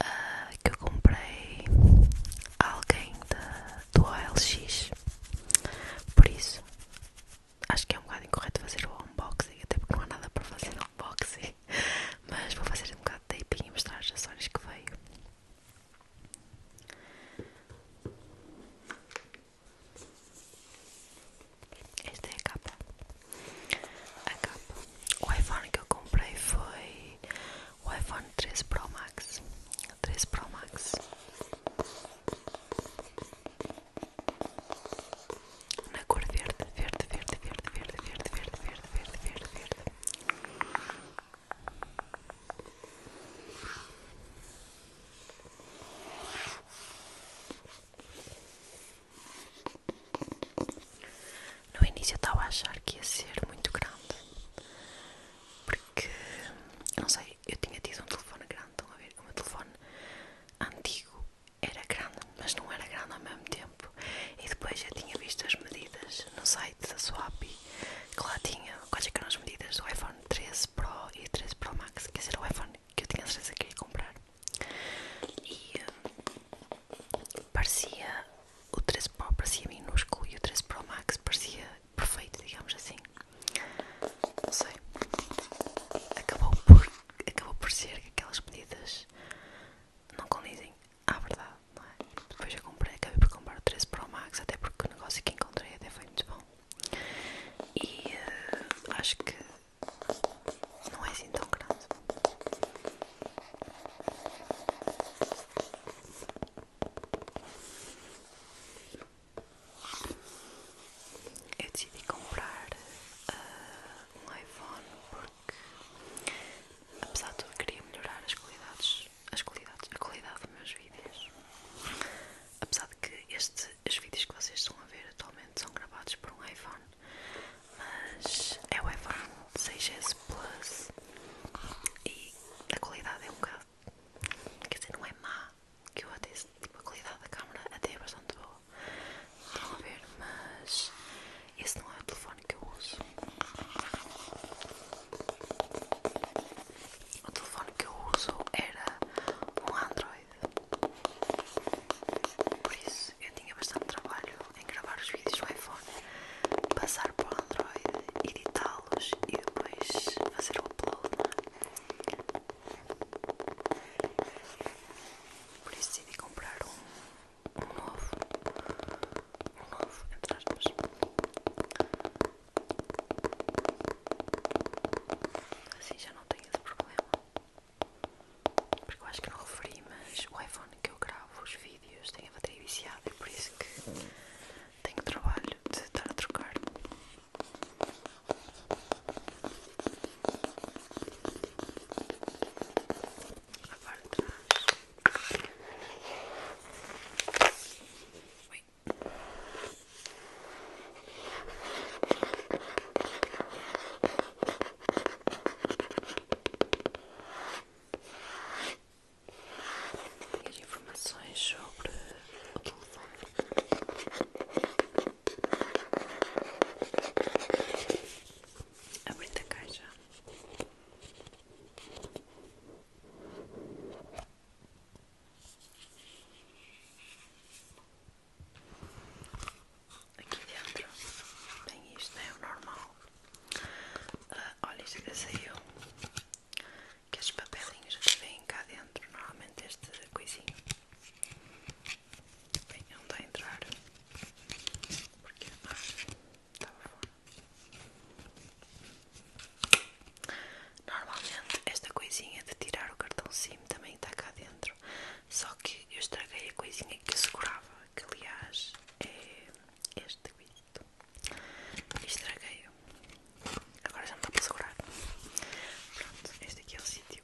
Ah, que eu comprei a alguém do OLX. Por isso, acho que é um bocado incorreto fazer o unboxing, até porque não há nada para fazer no unboxing. Mas vou fazer um bocado de taping e mostrar as ações que veio. este é a capa a O iPhone que eu comprei foi o iPhone 13 Pro Max. 13 Pro Max. Na cor verde, verde, verde, verde, verde, verde, verde, verde, verde, verde, verde. No início eu estava a achar que ia ser muito grande, porque não sei, eu tinha tido um telefone grande, estão a ver? O meu telefone antigo era grande, mas não era grande ao mesmo tempo. E depois já tinha visto as medidas no site da Swap que lá tinha quais é eram as medidas do iPhone 13 Pro e 13 Pro Max, que era o iPhone que eu tinha certeza que ia comprar. Hum, parecia o 13 Pro parecia minúsculo e o 13 Pro Max parecia perfeito, digamos assim. Não sei. Acabou por, acabou por ser que aquelas medidas não condizem à verdade, não é? Depois eu comprei, acabei por comprar o 13 Pro Max, até porque o negócio que encontrei até foi muito bom. E eh, acho que não é assim tão grande. Eu decidi comprar ah, um iPhone porque, apesar de tudo, queria melhorar as qualidades, as qualidades, a qualidade dos meus vídeos. Apesar de que este, os vídeos que vocês estão a ver atualmente são gravados por um iPhone, mas é o iPhone 6S Plus e a qualidade é um bocado, quer dizer, não é má, que o até, tipo, a qualidade da câmera até é bastante boa, estão a ver, mas esse não é o telefone que eu uso. O telefone que eu uso era um Android, por isso eu tinha bastante trabalho em gravar os vídeos do iPhone, passar para o Android, editá-los e depois fazer o upload. É? Por isso decidi comprar um, um novo. Um novo, entre aspas. Assim já não tenho esse problema. Porque eu acho que não referi, mas o iPhone que eu gravo os vídeos tem a bateria viciada e por isso que tenho trabalho de estar a trocar. A parte Ui ter informações sobre o telefone. a caixa aqui dentro tem isto, é o normal. Uh, olha, isto que saiu. Que estes papelinhos que vêm cá dentro, normalmente esta coisinha vem não está a entrar porque ah, estava fora. Normalmente esta coisinha de tirar o cartão SIM também está cá dentro. Só que eu estraguei a coisinha que eu segurava, que aliás é este grito e estraguei-o. Agora já não está para segurar. Pronto, este aqui é o sítio.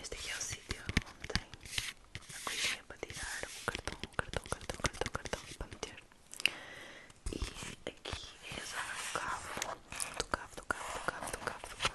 Este aqui é o sítio onde tem a coisinha para tirar o cartão, o cartão, o cartão, o cartão, cartão para meter. E aqui é a zona do cavo, do cabo do cabo do cabo do cavo, do cavo.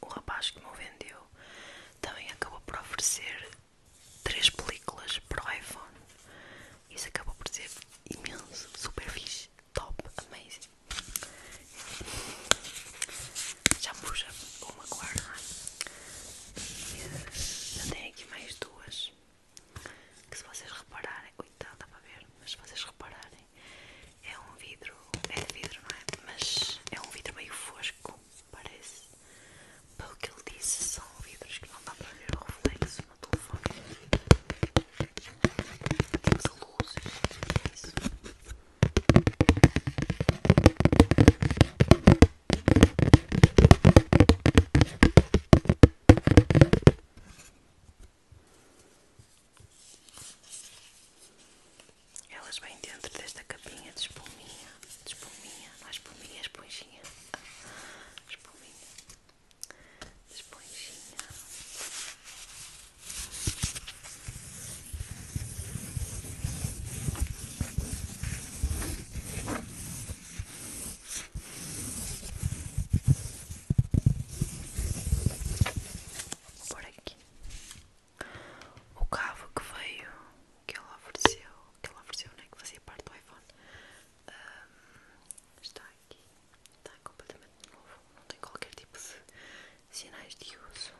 o rapaz que me vendeu também acabou por oferecer três películas para o iPhone. Isso acabou por ser imenso, super fixe, top, amazing. Já puxa uma guarda. já tenho aqui mais duas. Que se vocês repararem. Oitava tá, dá para ver, mas se vocês repararem, é um vidro. É de vidro, não é? Mas é um vidro meio fosco parece pelo que ele disse são vidros que não dá para ver o reflexo no telefone elas vêm dentro desta capinha de espuminha. De espuminha, não é espuminha, é esponjinha. Espuminha. Esponjinha. Por aqui o cabo que veio, que ela ofereceu, que ela ofereceu, né, que fazia parte do iPhone, está aqui, está completamente novo, não tem qualquer tipo de sinais de uso.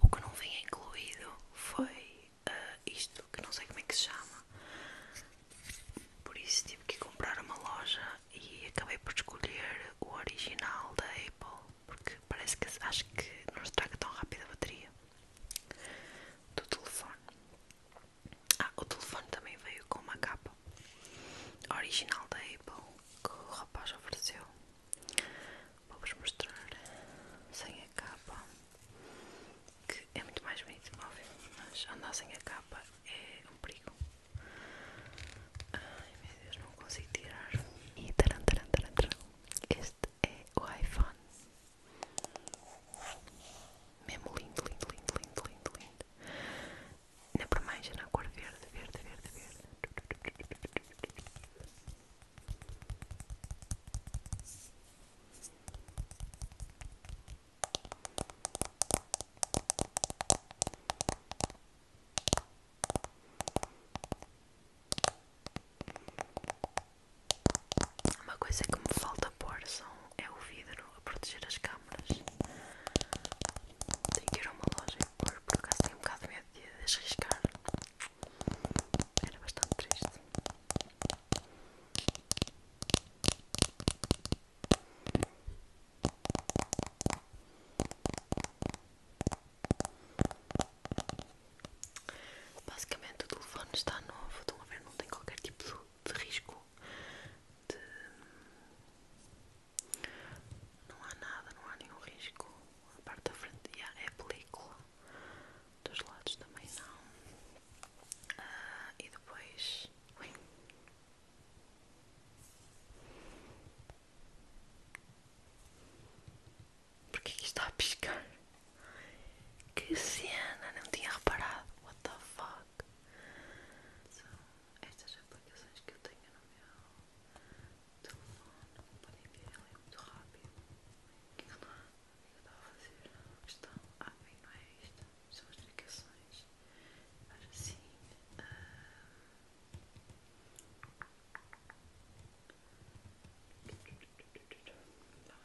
O que não vinha incluído foi ah, isto, que não sei como é que se chama, por isso tive que comprar uma loja e acabei por escolher o original da Apple porque parece que acho que não estraga tão rápido a bateria do telefone. Ah, o telefone também veio com uma capa original da Apple que o rapaz ofereceu. Vou-vos mostrar sem a capa que é muito mais bonito, óbvio, mas andar sem a capa é um perigo. Ai meu Deus, não consigo tirar. E taran, Este é o iPhone. Mesmo lindo, lindo, lindo, lindo, lindo, lindo. Na primeira na cor verde, verde, verde, verde. Uma coisa que me falta pôr são, é o vidro a proteger as câmaras. Tenho que ir a uma loja e pôr, por acaso tenho um bocado de medo de as Era bastante triste. Basicamente o telefone está novo, estão a ver, não tem qualquer tipo de, risco Não há nada, não há nenhum risco. A parte da frente yeah, é película, dos lados também não. Ah, e depois. Ui. Por que isto está a piscar? Que cena, não tinha reparado. What the fuck? São estas aplicações que eu tenho no meu telefone para enviar ele muito rápido. O que é que eu estava a fazer? Estão. Ah, bem, não é isto. São as aplicações. Mas assim. Ah, Vamos,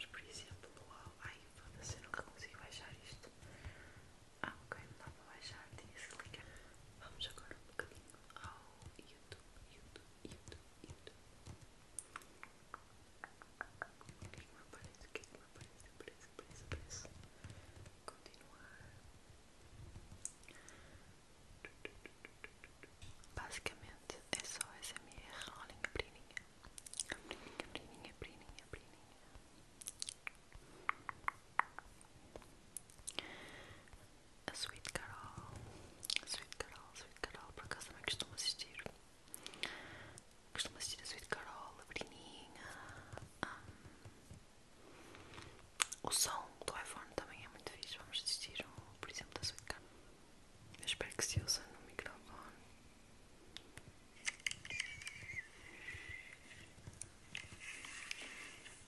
por exemplo, ao. Ai, foda eu nunca consigo baixar isto. Ah, ok, não dá para baixar, tinha que Vamos agora um bocadinho ao YouTube, YouTube, YouTube, YouTube. O que é que me aparece? O que é que me aparece? Aparece, aparece, aparece. Continuar. Basicamente é só SMR, rolling a brininha. brininha, brininha, brininha, a brininha. A Sweet Carol, a Sweet Carol, Sweet Carol, por acaso também costumo assistir. Costumo assistir a Sweet Carol, a Brininha. Ah. o som do iPhone também é muito fixe. Vamos assistir, um, por exemplo, da Sweet Carol. Eu espero que se ouça no microfone.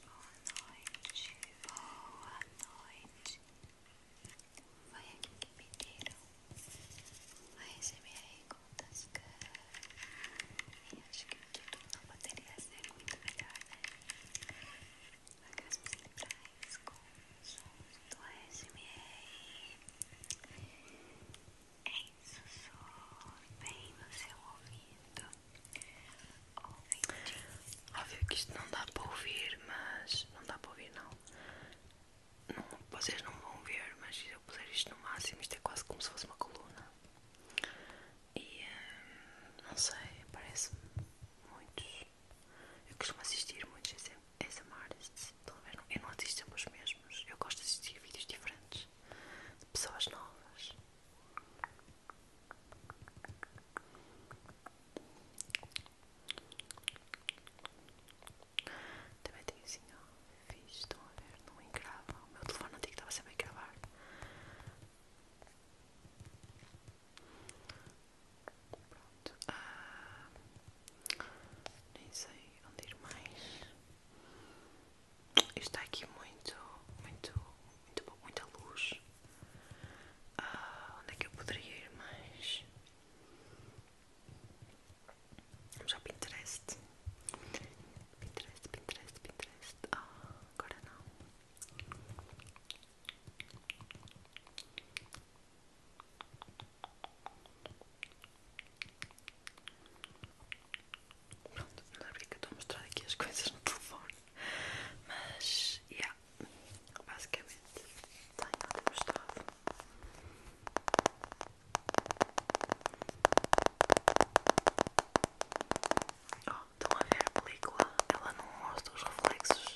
Boa noite, boa noite. Foi aqui que pediram a SMR com Tascar. E acho que o título não poderia ser muito melhor, né? Aquelas cerebrais com sons do ASMR em sussurro bem no seu ouvido. Óbvio que isto não dá para ouvir, mas não dá para ouvir não. não vocês não vão ver, mas se eu puser isto no máximo, isto é quase como se fosse uma coluna. E hum, não sei, parece-me muitos eu costumo assistir muitos SM artists, eu não assisto sempre os mesmos, eu gosto de assistir vídeos diferentes, de pessoas novas. Também tenho assim, ó, fiz, estão a ver, não engrava, o meu telefone antigo estava sempre a gravar. Ah, nem sei onde ir mais. Isto está aqui muito, muito, muito boa muita luz. Ah, onde é que eu poderia ir mais? Vamos ao Pinterest. Pinterest, Pinterest, Pinterest. Ah, agora não. Pronto, não é porque eu estou a mostrar aqui as coisas no telefone, mas, é basicamente tenho mostrado. Oh, estão a ver a película? Ela não mostra os reflexos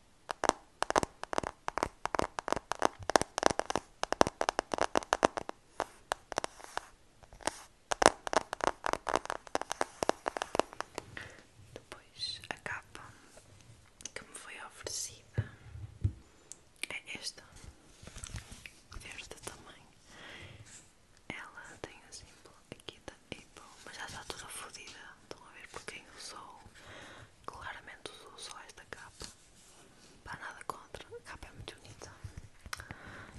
Depois a capa que me foi oferecida é esta, deste tamanho Ela tem o assim, símbolo aqui da e pô, mas já está toda fodida. Estão a ver por quem usou? Claramente usou só esta capa. Para nada contra, a capa é muito bonita.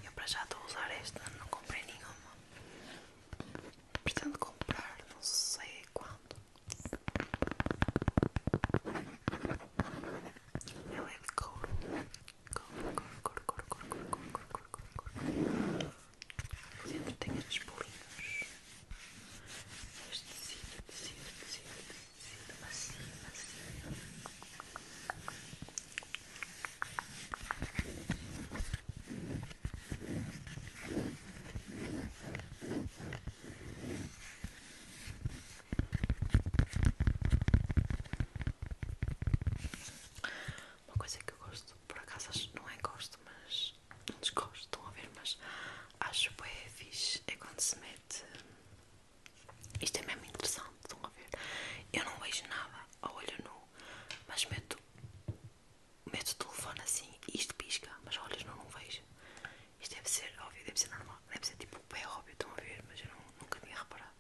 Eu para já estou a usar esta, não comprei nenhuma. Pretendo comprar, não sei quando. Ela é de couro, couro, couro, couro, couro, couro, couro, couro, couro. Por dentro tem estes bolinhos. Este tecido, tecido, tecido, tecido, macio, macio. Uma coisa que eu gosto, por acaso não é gosto, mas não desgosto, estão a ver, mas acho que é fixe, é quando se mete, isto é mesmo interessante, estão a ver, eu não vejo nada a olho nu, mas meto, meto o telefone assim e isto pisca, mas a olhos nu não vejo, isto deve ser óbvio, deve ser normal, deve ser tipo, é óbvio, estão a ver, mas eu nunca tinha reparado.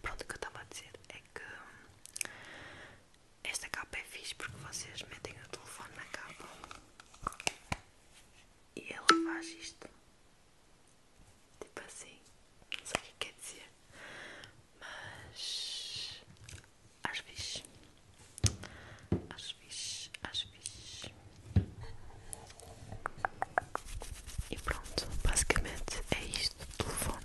Pronto, o que eu estava a dizer é que esta capa é fixe porque vocês metem o telefone na capa e ela faz isto. Tipo assim. Não sei o que é quer dizer. Mas acho fixe. Acho fixe. Acho fixe. E pronto, basicamente é isto telefone.